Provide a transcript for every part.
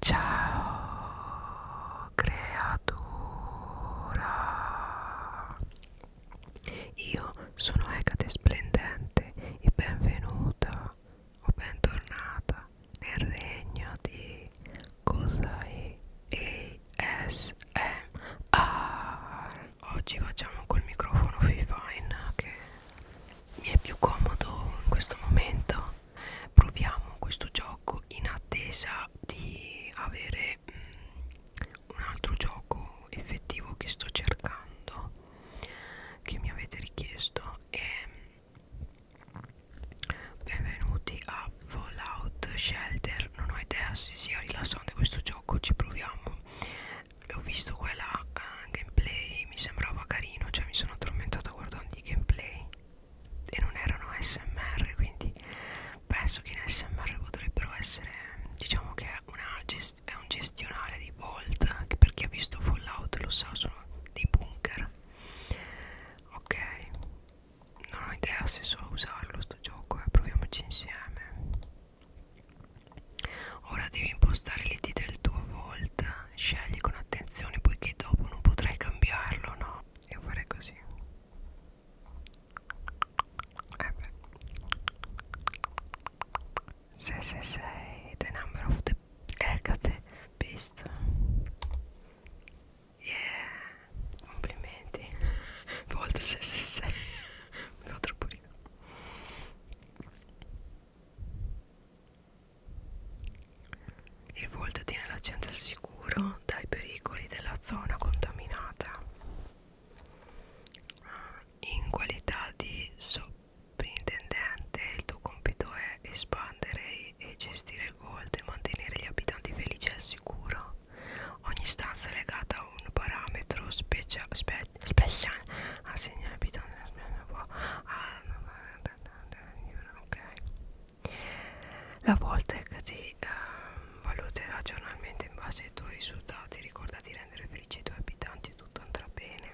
Ciao creatura Io sono Ecate Splendente e benvenuta o bentornata nel regno di Cosai ASMR Oggi facciamo col microfono Fifine che mi è più comodo in questo momento proviamo questo gioco in attesa di avere um, un altro gioco effettivo che sto cercando che mi avete richiesto e mm, benvenuti a Fallout Shelter non ho idea se sia rilassante questo gioco ci proviamo ho visto quella uh, eh, gameplay mi sembrava carino cioè mi sono addormentata guardando i gameplay e non erano smr quindi penso che in smr potrebbero essere diciamo che è, una è un gestionale di vault che per chi ha visto fallout lo sa sono dei bunker ok non ho idea se so usarlo sto gioco eh. proviamoci insieme ora devi impostare l'id del tuo vault scegli con attenzione poiché dopo non potrai cambiarlo, no? Io farei così. Eh beh. Se se sei the number of the Hecate beast. Yeah, complimenti. Volta se se sei. Mi fa troppo ridere e voltati nella gente al sicuro dai pericoli della zona contaminata ah, in qualità di sovrintendente il tuo compito è espandere e gestire il volto e mantenere gli abitanti felici al sicuro ogni stanza è legata a un parametro speciale assegnare ah, abitanti a ok la Voltec ti uh, valuterà giornalmente in base ai tuoi risultati ricorda di rendere felici i tuoi abitanti tutto andrà bene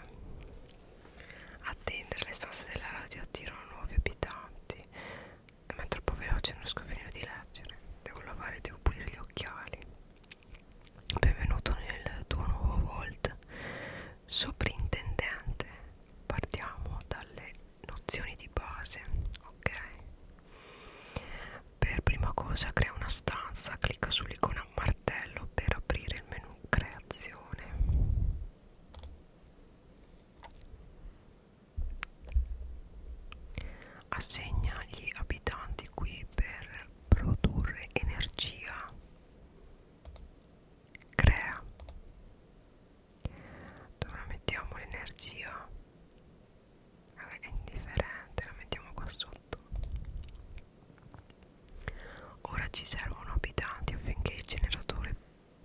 attendere le stanze della radio attirano nuovi abitanti ma è troppo veloce non riesco a finire di leggere devo lavare devo pulire gli occhiali benvenuto nel tuo nuovo Volt soprintendente partiamo dalle nozioni di base ok per prima cosa crea una stanza clicca sull'icona martello per aprire il menu creazione assegna gli abitanti qui per produrre energia crea dove mettiamo l'energia è indifferente la mettiamo qua sotto ora ci servono abitanti affinché il generatore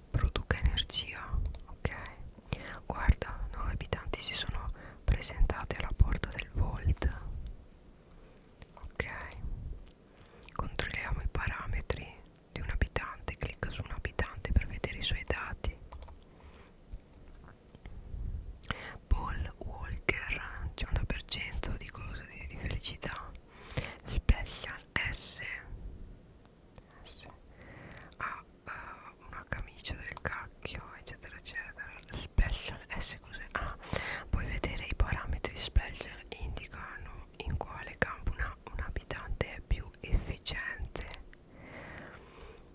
produca energia ok guarda 9 abitanti si sono presentati alla porta del volt ok controlliamo i parametri di un abitante clicca su un abitante per vedere i suoi dati Paul Walker 100% di cosa di, di felicità Special S S ha uh, una camicia del cacchio eccetera eccetera Special S cos'è? Ah, puoi vedere i parametri special indicano in quale campo una, una abitante è più efficiente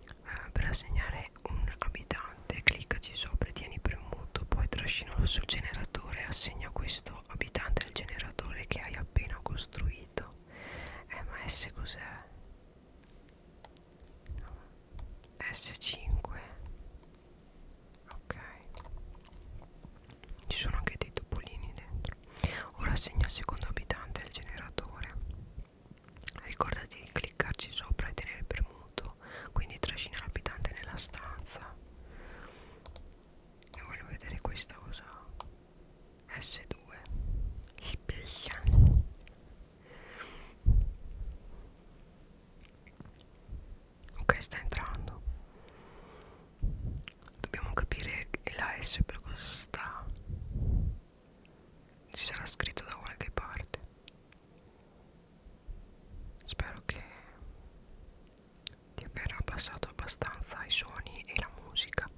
eh, per assegnare un abitante cliccaci sopra e tieni premuto poi trascinalo sul generatore e assegna questo abitante al generatore che hai appena costruito eh ma S cos'è? S5 ok ci sono anche dei topolini dentro ora segna il secondo abitante al generatore ricordati di cliccarci sopra e tenere premuto quindi trascina l'abitante nella stanza e voglio vedere questa cosa S2 Spiegano. ok sta entrando Dobbiamo capire la S per cosa sta. Ci sarà scritto da qualche parte. Spero che di aver abbassato abbastanza i suoni e la musica.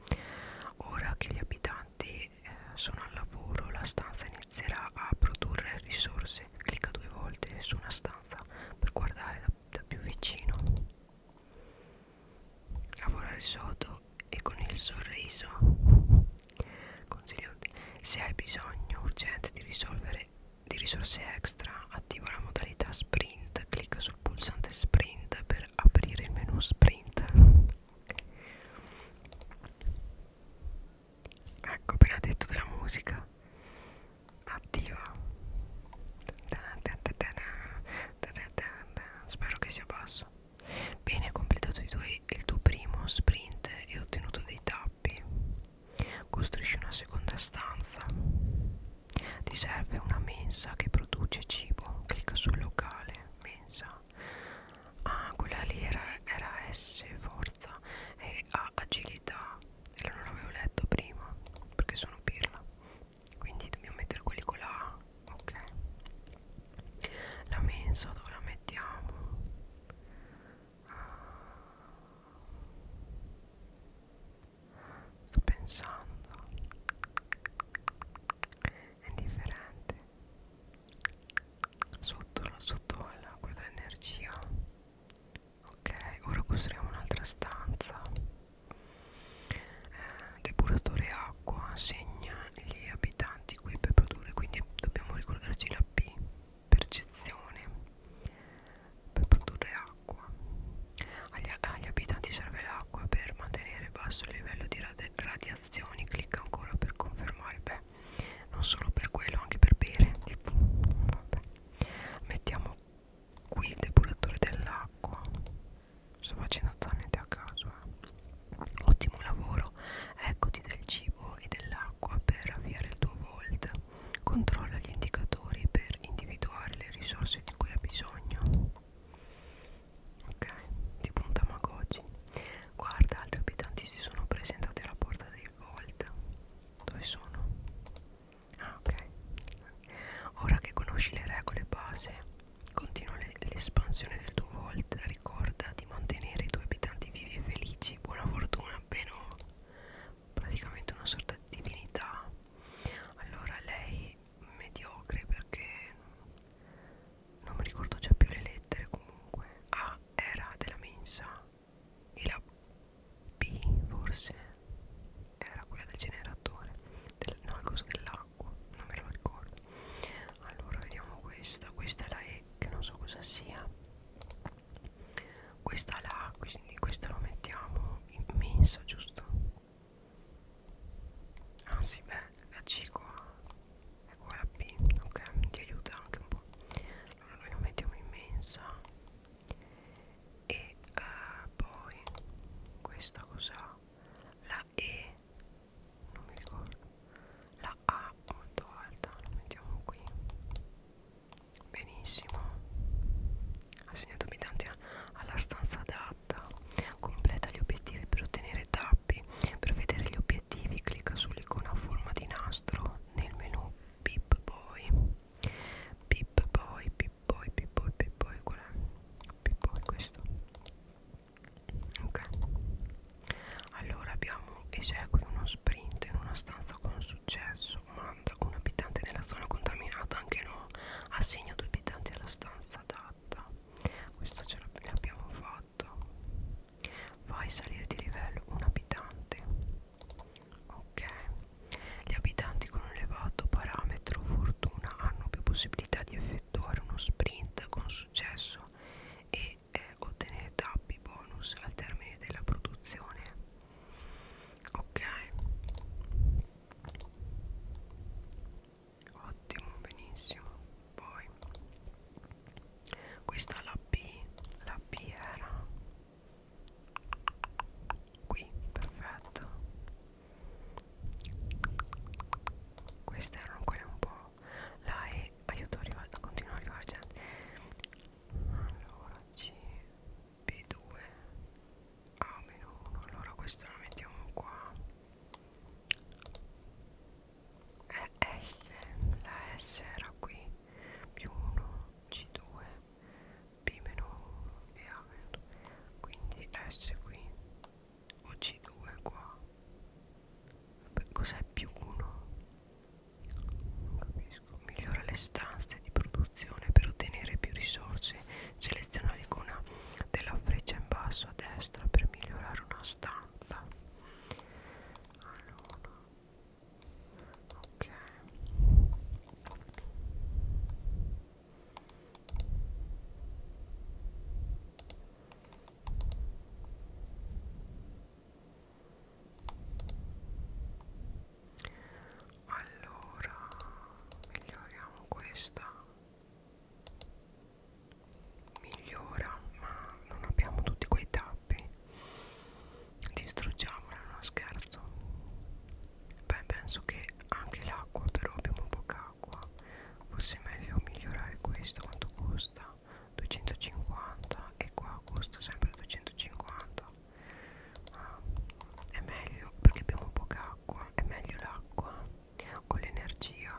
Ora che gli abitanti eh, sono al lavoro, la stanza inizierà a produrre risorse. Clicca due volte su una stanza per guardare da, da più vicino. Lavorare sodo e con il sorriso Consiglio Se hai bisogno urgente di risolvere di risorse extra attiva la modalità sprint Clicca sul pulsante sprint per aprire il menu sprint Ecco appena detto della musica attiva spero che sia basso bene hai completato i tuoi, il tuo primo sprint e ottenuto dei tappi costruisci una seconda stanza ti serve una mensa che produce cibo clicca sul locale mensa ah quella lì era, era S forza e A agilità e non l'avevo letto prima perché sono pirla quindi dobbiamo mettere quelli con la A ok la mensa dove la mettiamo ah. sto pensando è differente sotto, sotto la, quella energia ok ora costruiamo un'altra stanza eh, depuratore acqua segna gli abitanti qui per produrre quindi dobbiamo ricordarci la P percezione per produrre acqua agli, agli abitanti serve l'acqua per mantenere basso il livello di radi radiazioni clicca ancora per confermare beh non solo per quello anche per bere tipo, vabbè mettiamo qui il depuratore dell'acqua sto facendo totalmente a caso eh. ottimo lavoro eccoti del cibo e dell'acqua per avviare il tuo volt controlla gli indicatori per individuare le risorse di cui hai bisogno ok tipo un tamagotchi guarda altri abitanti si sono presentati alla porta dei volt dove sono Ah, ok. Ora che conosci le regole base, continua l'espansione del tuo Vault. Ricorda di mantenere i tuoi abitanti vivi e felici. Buona fortuna, Beno. Praticamente una sorta di divinità. Allora, lei mediocre perché non mi ricordo già più le lettere comunque. A era della mensa e la B forse era quella del generatore del, no il coso dell'acqua non me lo ricordo allora vediamo questa questa è la E che non so cosa sia questa è la A quindi questa lo mettiamo in mensa giusto ah sì beh la C qua e qua la B ok ti aiuta anche un po' allora noi lo mettiamo in mensa e uh, poi questa cos'ha? La E non mi ricordo la A molto alta la mettiamo qui benissimo ha segnato abitanti alla stanza adatta completa gli obiettivi per ottenere tappi per vedere gli obiettivi clicca sull'icona a forma di nastro nel menu Pip Boy Pip Boy Pip poi poi poi poi qual è? poi questo ok allora abbiamo esegui uno sprint in una stanza con successo una, un abitante della zona contaminata anche no assegna due abitanti alla stanza adatta questo ce l'abbiamo fatto fai salire di livello un abitante ok gli abitanti con un elevato parametro fortuna hanno più possibilità di effettuare uno sprint con successo e eh, ottenere tappi bonus al termine della produzione. Ok. Ottimo, benissimo. Poi questa la P, la P era qui perfetto queste erano quelle un po' là e aiuto a, arrivare, a continuare a arrivare gente cioè. allora C B2 A meno 1 allora questo lo mettiamo qua e S la S era qui più 1 C2 P meno e A meno quindi S qui o C2 qua cos'è più 1? non capisco migliora le stanze di produzione per ottenere più risorse seleziona l'icona della freccia in basso a destra per migliorare una stanza allora ok allora, miglioriamo questa. Migliora, ma non abbiamo tutti quei tappi. Distruggiamola, non scherzo. Beh, penso che anche l'acqua, però abbiamo poca acqua. Forse è meglio migliorare questo, quanto costa? 250 e qua costa sempre 250. Ah, è meglio perché abbiamo poca acqua, è meglio l'acqua o l'energia.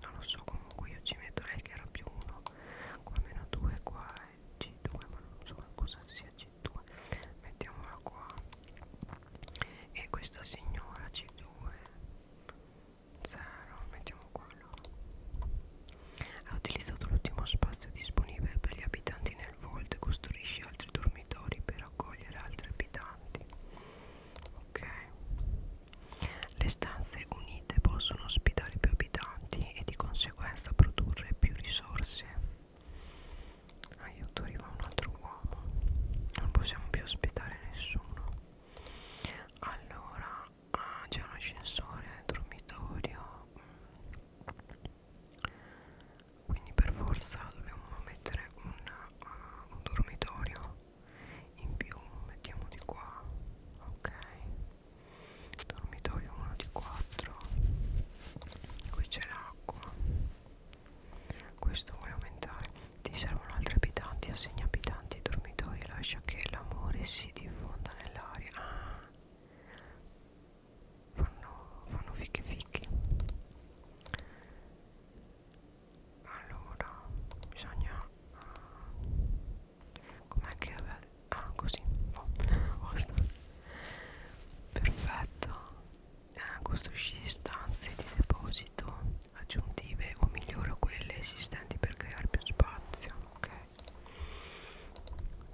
Non lo so, comunque io ci metto lei che era più 1, qua meno 2, qua è C2, ma non so cosa sia C2. Mettiamola qua e questa signora C2 0 mettiamo quello ha utilizzato l'ultimo spazio disponibile per gli abitanti nel Vault e costruisce altri dormitori per accogliere altri abitanti ok le stanze unite possono ospitare più abitanti e di conseguenza produrre più risorse aiuto ah, arriva un altro uomo non possiamo più aspettare nessuno allora ah, c'è un ascensore dormitorio quindi per forza dobbiamo mettere un, uh, un dormitorio in più mettiamo di qua ok dormitorio 1 di 4 qui c'è l'acqua questo vuole aumentare ti servono altri abitanti assegna abitanti ai dormitori lascia che l'amore si diffonda nell'aria ah. fanno, fanno fichi fichi allora bisogna uh, com'è che aveva ah così oh, perfetto eh, costruisci stanze di deposito aggiuntive o migliora quelle esistenti per creare più spazio ok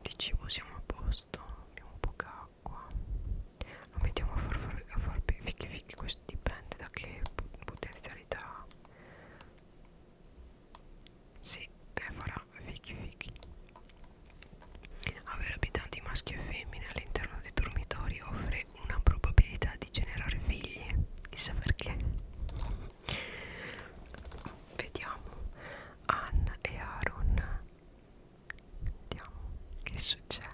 di cibo siamo a posto abbiamo poca acqua lo mettiamo a far, far, a far fichi fichi questo dipende da che potenzialità si sì, eh, farà fichi fichi avere abitanti maschi e femmine all'interno dei dormitori offre anche una probabilità di generare figli chissà perché vediamo Anna e Aaron vediamo che succede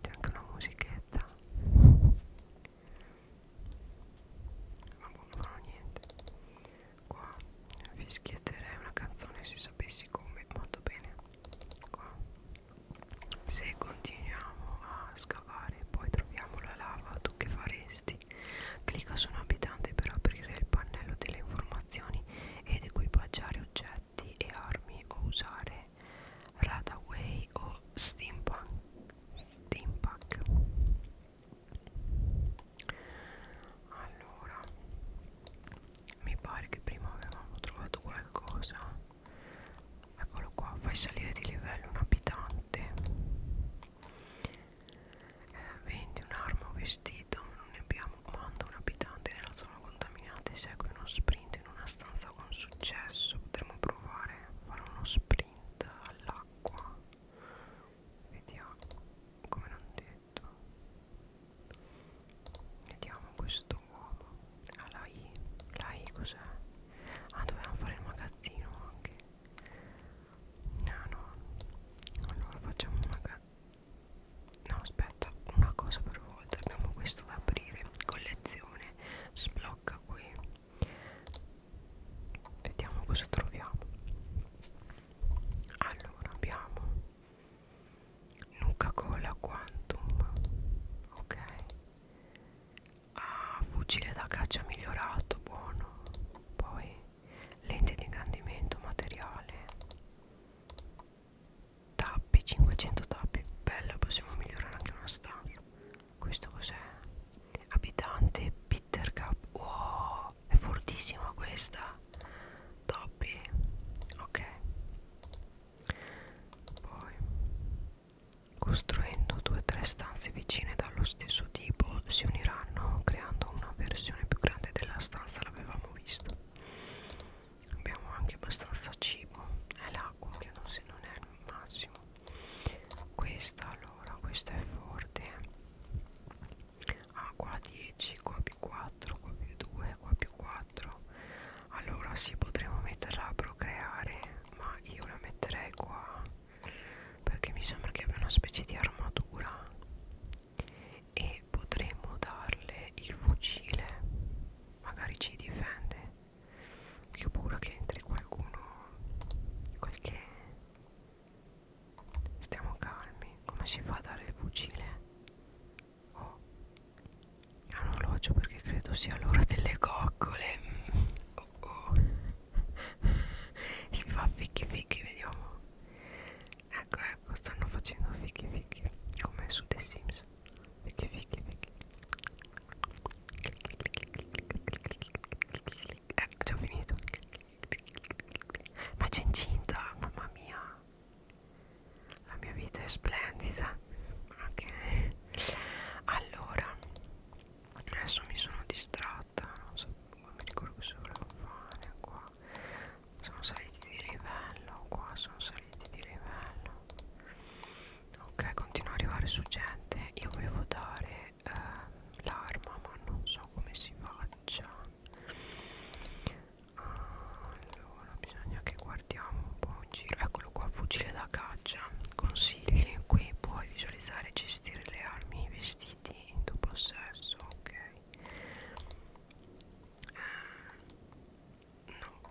c'è anche una musichetta ma non farò niente qua fischietterei una canzone se sapessi come molto bene qua se continuiamo a scavare poi troviamo la lava tu che faresti clicca su un abitante per aprire il pannello delle informazioni ed equipaggiare oggetti e armi o usare radaway o steampunk steampunk allora mi pare che prima avevamo trovato qualcosa eccolo qua fai salire di livello un abitante eh, vendi un'arma o vestito non ne abbiamo manda un abitante nella zona contaminata e segui uno sprint in una stanza con successo potremmo provare a fare uno sprint all'acqua vediamo come non ti aspetta vediamo questo uomo ah la I la I cos'è? ah dovevamo fare il magazzino anche no no allora facciamo un magazzino no aspetta una cosa per volta abbiamo questo da aprire collezione sblocca qui vediamo cosa troviamo allora abbiamo Nuca Cola Quantum ok ah, fucile da caccia migliorato buono poi lente di ingrandimento materiale tappi 500 tappi bella possiamo migliorare anche una stanza questo cos'è abitante Peter Cup wow è fortissima questa topi ok poi costruendo due o tre stanze vicine dallo stesso tipo si uniranno creando una versione più grande della stanza l'avevamo visto abbiamo anche abbastanza cibo è l'acqua che non, se non è il massimo questa allora questa è forte a ah, qua 10 qua più 4 qua più 2 qua più 4 allora sì potremmo metterla a procreare ma io la metterei qua perché mi sembra che abbia una specie di armatura e potremmo darle il fucile magari ci difende che ho paura che entri qualcuno qualche stiamo calmi come si fa a dare il fucile ho un orologio perché credo sia l'ora delle coccole oh oh. si fa fichi fichi vediamo ecco ecco stanno facendo fichi fichi come su The Sims fichi fichi fichi ecco eh, già ho finito ma c'è incinta mamma mia la mia vita è splendida ok allora adesso mi sono distratta non so non mi ricordo cosa volevo fare qua sono saliti di livello qua sono saliti di livello ok continua a arrivare su gente io volevo dare eh, l'arma ma non so come si faccia allora bisogna che guardiamo un po' in giro Eccolo qua, fucile da caccia Consigli, qui puoi visualizzare e gestire le armi i vestiti in tuo possesso Ok eh, No,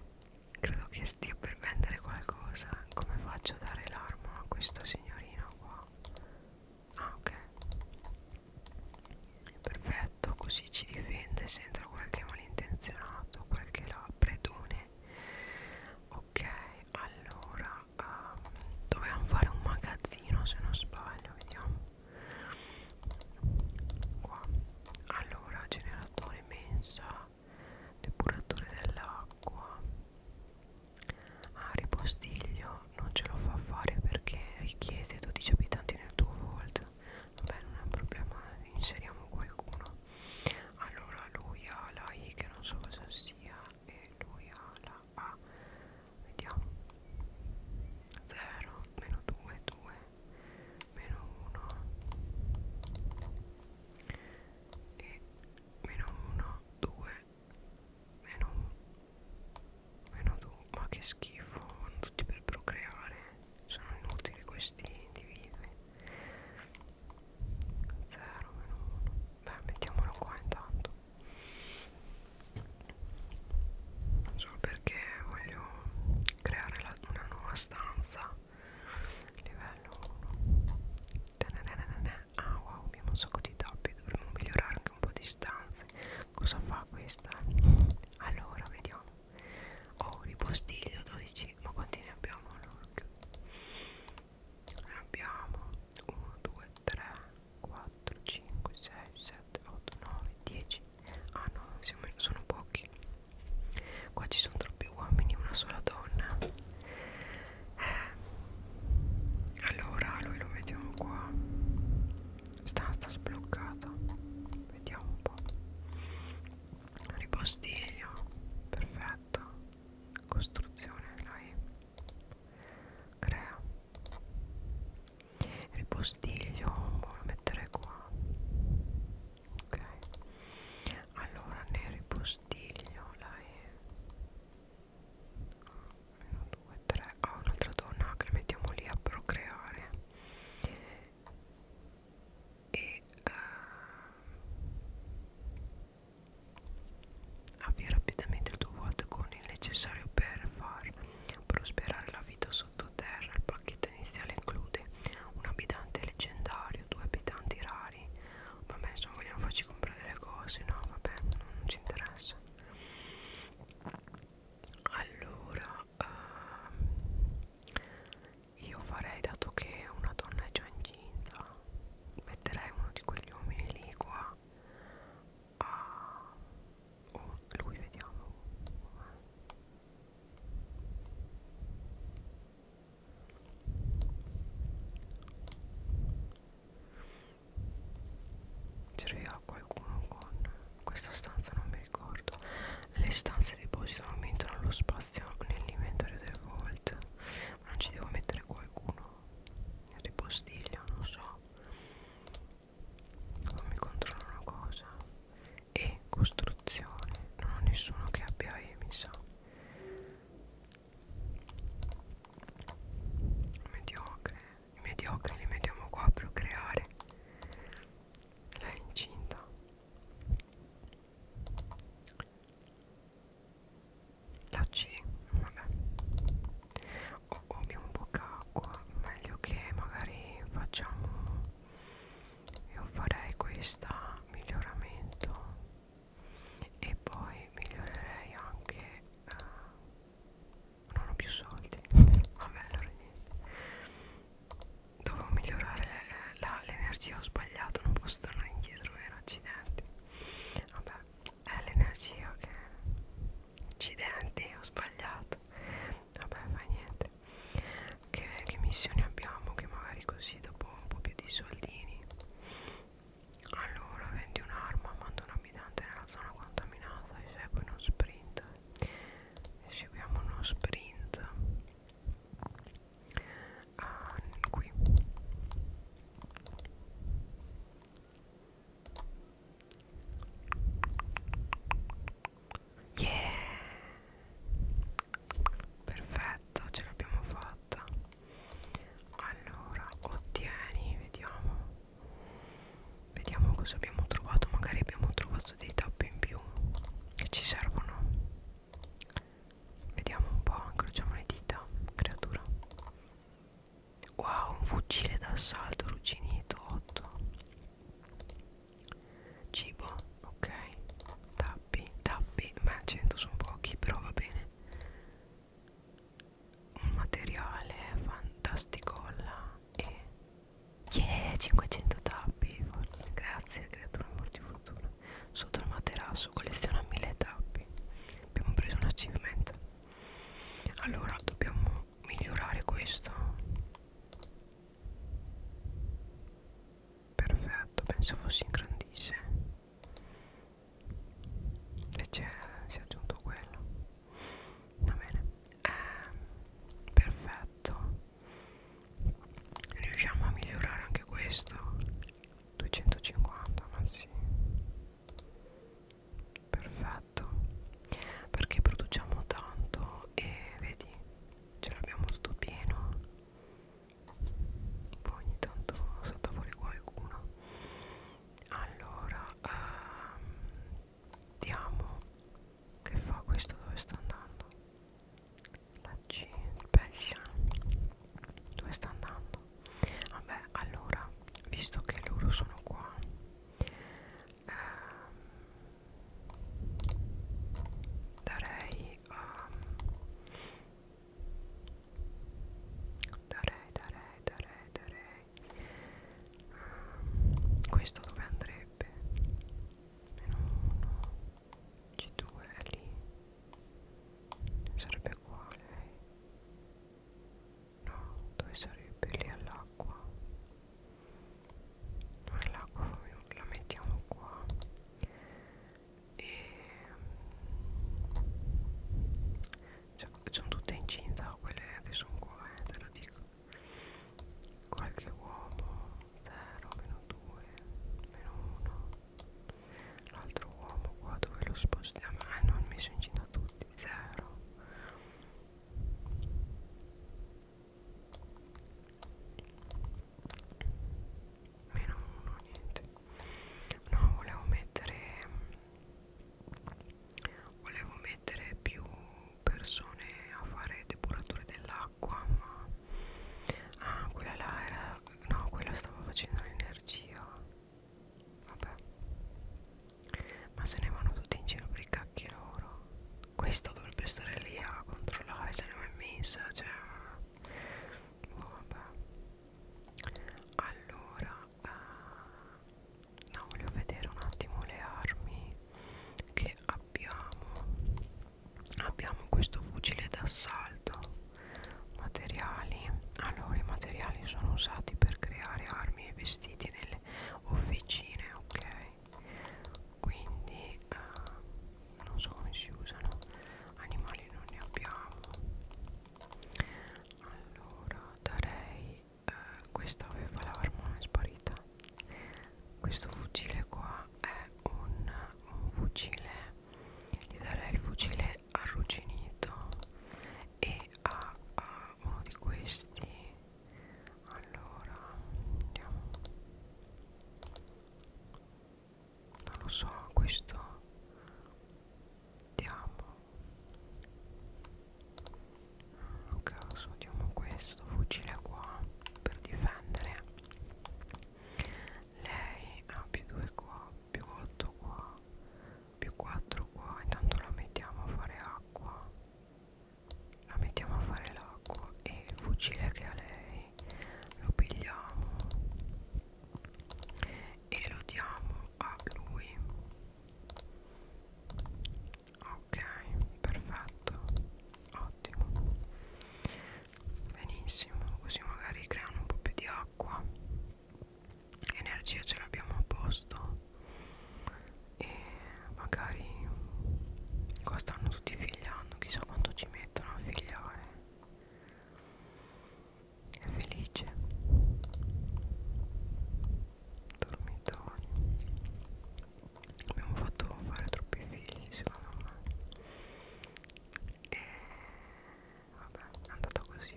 credo che stia per vendere qualcosa Come faccio a dare l'arma a questo signorino qua? Ah ok Perfetto, così ci difende se entra qualche malintenzionato, qualche labredone. Ok, allora um, ehm, dovevamo fare un magazzino se non sbaglio, vediamo. Qua. Allora, generatore mensa, depuratore dell'acqua. Ah, ripostiglio non ce lo fa fare perché richiede 12 abitanti nel tuo volt vabbè non è un problema inseriamo qualcuno allora lui ha la I che non so cosa sia e lui ha la A vediamo 0 meno 2 2 meno 1 e meno 1 2 meno meno 2 ma che schifo vanno tutti per procreare sono inutili questi individui 0 meno 1 beh mettiamolo qua intanto solo perché voglio creare la, una nuova stanza livello 1 ah wow abbiamo un sacco di tappi dovremmo migliorare anche un po' di stanze cosa fa questa? Allora, vediamo. Oh, ripostiglio 12. Ma quanti ne abbiamo all'orchio? Ne abbiamo 1, 2, 3, 4, 5, 6, 7, 8, 9, 10. Ah no, siamo, sono pochi. Qua ci sono troppi uomini, una sola donna. Eh. Allora, lui lo mettiamo qua. Stanza sbloccata vediamo un po' ripostiglio perfetto costruzione dai crea ripostiglio lo mettere qua ok allora nel ripostiglio lei 1 2 3 ho ah, un'altra donna che la mettiamo lì a procreare e uh, ehm, avvia rapidamente il tuo vuoto con il necessario per far prosperare la vita sottoterra il pacchetto iniziale include un abitante leggendario due abitanti rari vabbè insomma vogliono farci comprare delle cose no vabbè non ci interessa allora uh, io farei, dato che una donna è già incinta, metterei uno di quegli uomini lì qua a... Ah, oh, lui vediamo. Serviva qualcuno con questa stanza non mi mi ricordo le stanze depositano aumentano lo spazio nell'inventario del vault ma non ci devo mettere qualcuno il ripostiglio non so fammi controllare una cosa e costruzione non ho nessuno che abbia E mi sa mediocre i mediocri li mettiamo qua per creare lei è incinta la C vabbè o oh, abbiamo poca acqua meglio che magari facciamo io farei questa miglioramento e poi migliorerei anche eh, non ho più soldi vabbè allora niente dovevo migliorare eh, l'energia ho sbagliato non posso tornare indietro vero accidenti vabbè è l'energia che accidenti ho sbagliato vabbè fa niente che, che missioni abbiamo che magari così dopo un po' più di soldini allora vendi un'arma manda un abitante nella zona contaminata e segui uno sprint seguiamo uno sprint ah, qui yeah perfetto ce l'abbiamo fatta allora ottieni vediamo vediamo cosa abbiamo trovato magari abbiamo trovato trovato dei tappi in più che ci servono vediamo un po' incrociamo le dita creatura wow un fucile d'assalto rugginito 8 cibo ok tappi tappi ma 100 sono pochi però va bene un materiale fantasticolla e Yeah, 500 tappi. Grazie, creatura amor di fortuna. Sotto il materasso colleziona 1000 tappi. Abbiamo preso un achievement. Allora, dobbiamo migliorare questo. Perfetto, penso fosse ingrandisce. Invece si è aggiunto quello. Va bene eh, perfetto riusciamo a migliorare anche questo 250 ma sì perfetto perché produciamo tanto e vedi ce l'abbiamo tutto pieno poi ogni tanto salta fuori qualcuno allora ehm, diamo che fa questo? Dove sta andando? La C, Belsia. Dove sta andando? Vabbè, allora, visto che loro sono qua, ehm, darei, um, darei, darei, darei, darei. Um, questo dove andrebbe? meno 1 c2 è lì sarebbe qua lei no dove sarebbe lì all'acqua non all'acqua la mettiamo qua e ehm, cioè, sono tutte incinta quelle che sono qua eh, te lo dico qualche uomo 0 meno 2 meno 1 l'altro uomo qua dove lo spostiamo ah non mi sono incinta tutti 0 meno 1 niente no volevo mettere volevo mettere più persone a fare depuratore dell'acqua ma ah quella là era no quella stava facendo l'energia vabbè ma se ne vanno tutti in giro per i cacchi loro questa dovrebbe stare lì a controllare se ne va in messa cioè oh, vabbè allora uh, no voglio vedere un attimo le armi che abbiamo abbiamo questo fucile d'assalto materiali allora i materiali sono usati per creare armi e vestiti nelle officine ok quindi eh, non so come si usano animali non ne abbiamo allora darei eh, questa aveva l'arma è sparita questo fucile qua è un, un fucile gli darei il fucile arrugginito e a, a uno di questi allora andiamo non lo so questo diamo a caso diamo questo fucile qua per difendere lei ha più 2 qua più 8 qua più 4 qua intanto la mettiamo a fare acqua la mettiamo a fare l'acqua e il fucile che ha lei lo pigliamo e lo diamo a lui ok perfetto ottimo benissimo così magari creano un po' più di acqua energia ce l'abbiamo a posto e magari qua stanno tutti figliando chissà quanto ci mettono a figliare è felice dormitorio abbiamo fatto fare troppi figli secondo me e vabbè è andato così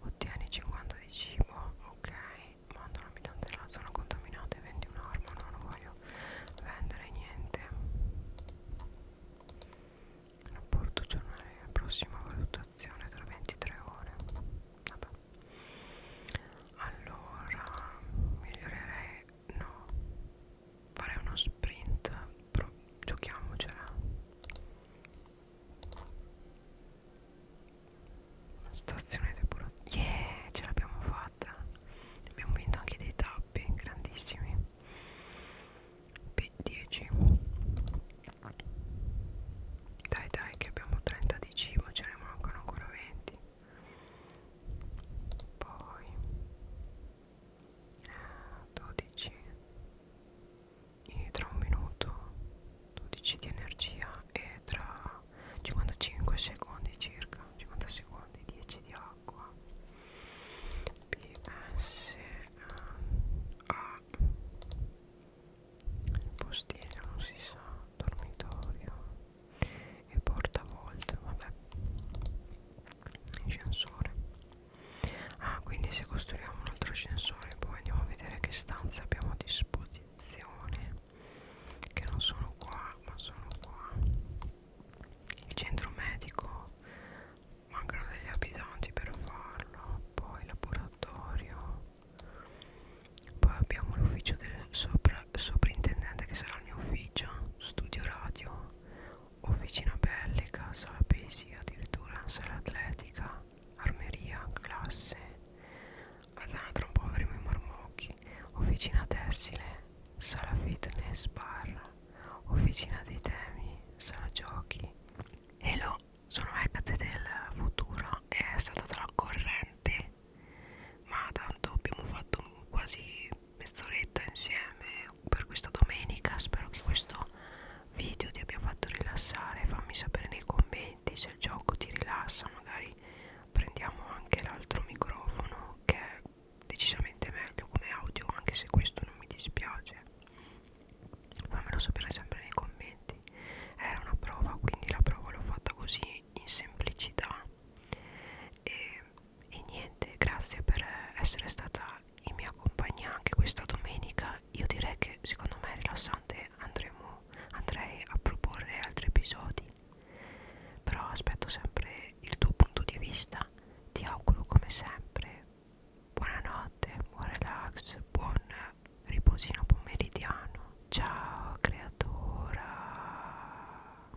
ottieni 50 di cibo ok manda un abitante della zona contaminata e vendi un'arma no non voglio vendere niente rapporto giornale prossima valutazione tra 23 ore vabbè allora migliorerei no farei uno sprint però giochiamocela stazione depurativa yeah ce l'abbiamo fatta abbiamo vinto anche dei tappi grandissimi P10 dai dai che abbiamo 30 di cibo ce ne mancano ancora 20 poi 12 e tra un minuto 12 di energia e tra 55 secondi circa 50 secondi 10 di acqua PS A il postino non si sa dormitorio e portavolte vabbè ascensore ah quindi se costruiamo un altro ascensore poi andiamo a vedere che stanze abbiamo a disposizione che non sono qua ma sono qua il centro medico mancano degli abitanti per farlo poi il laboratorio poi abbiamo l'ufficio del sopra soprintendente che sarà il mio ufficio, studio radio, officina bellica, sala poesia addirittura, sala atletica, armeria, classe, tra un po' avremo i marmocchi, officina tessile, sala fitness, bar, officina dei temi, sala giochi. Hello, sono Hecate del futuro è stata tra corrente ma tanto abbiamo fatto quasi mezz'oretta insieme per questa domenica spero che questo video ti abbia fatto rilassare fammi sapere nei commenti se il gioco ti rilassa magari prendiamo anche l'altro microfono che è decisamente meglio come audio anche se questo non mi dispiace fammelo sapere sempre nei commenti era una prova quindi la prova l'ho fatta così in semplicità e, e niente grazie per essere stata in mia compagnia anche questa domenica io direi che secondo me è rilassante andremo andrei a proporre altri episodi però aspetto sempre il tuo punto di vista ti auguro come sempre buonanotte buon relax buon riposino pomeridiano ciao creatura